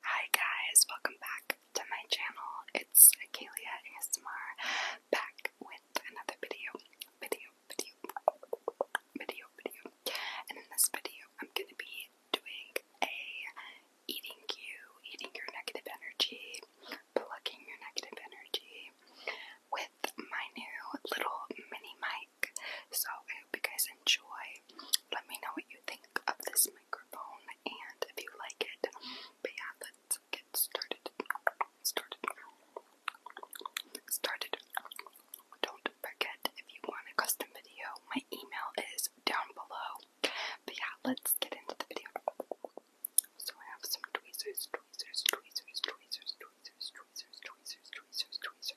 Hi guys, welcome back to my channel. It's Akalia ASMR back with another video. Video, video, video, video. And in this video, I'm gonna be doing a eating you, eating your negative energy, plugging your negative energy with my new little mini mic. So I hope you guys enjoy. Let me know what you think of this microphone and if you like it. But yeah, let's get started. Started. Started. Don't forget if you want a custom video, my email is down below. But yeah, let's get into the video. So I have some tweezers, tweezers, tweezers, tweezers, tweezers, tweezers, tweezers, tweezers, tweezers.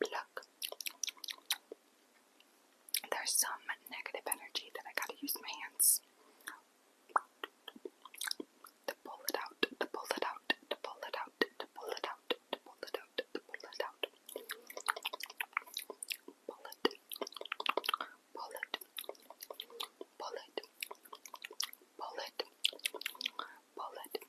Look, there's some negative energy that I gotta use my hands to pull it out, to pull it out, to pull it out, to pull it out, to pull it out, to pull it out. Pull it, pull it, pull it, pull it, pull it,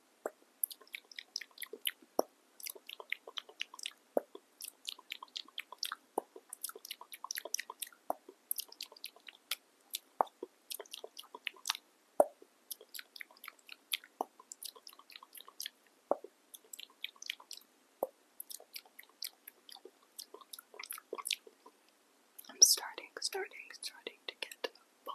I'm starting, starting, starting to get a bowl,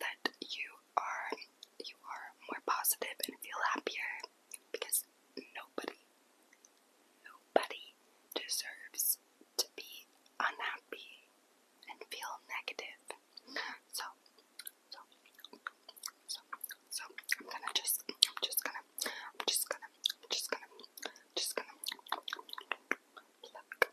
that you are you are more positive and feel happier because nobody nobody deserves to be unhappy and feel negative. So so so so I'm gonna just just gonna I'm just gonna I'm just gonna I'm just gonna pluck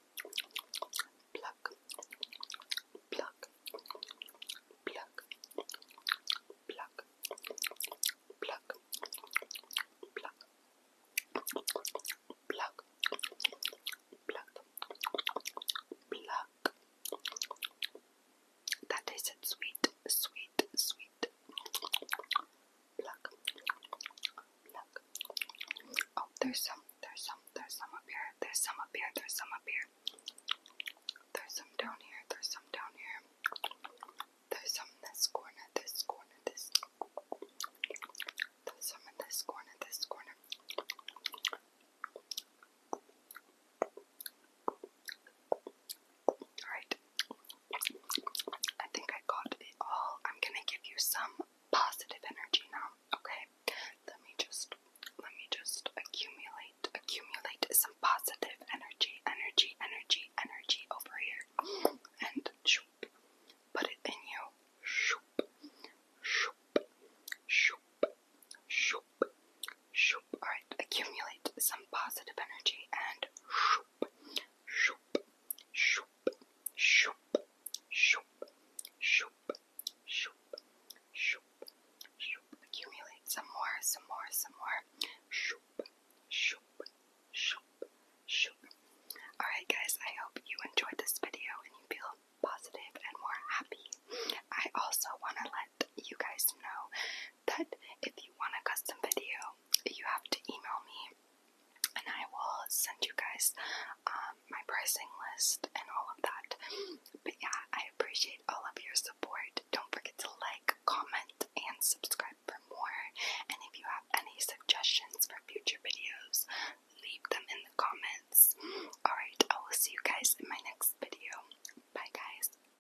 pluck, pluck, pluck, pluck, pluck, pluck. Pluck, pluck, pluck. That tasted sweet, sweet, sweet pluck, pluck. Oh, there's some, there's some, there's some up here, there's some up here, there's some up here. There's some down here, there's some down here. There's some in this corner, this corner, this. There's some in this corner, this corner. Alright, I think I got it all. I'm gonna give you some positive energy now, okay? Let me just let me just accumulate accumulate some positive energy, energy, energy, energy over here. And shoop. Put it in you. Shoop. Shoop. Shoop. Shoop. Shoop. Alright, accumulate some positive energy and shoop shoop, shoop, shoop, shoop, shoop, shoop, shoop, shoop, shoop. Accumulate some more, some more, some more. Shoop, shoop, shoop, shoop. Alright guys, I hope you enjoyed this video and you feel positive and more happy. I also want to let you guys know that if you want a custom video, you have to email me and I will send you guys um, my pricing list and all of that. But yeah, I appreciate all of your support. Don't forget to like, comment, and subscribe for more. And if you have any suggestions for future videos, leave them in the comments. Alright, I will see you guys in my next video. Bye, guys.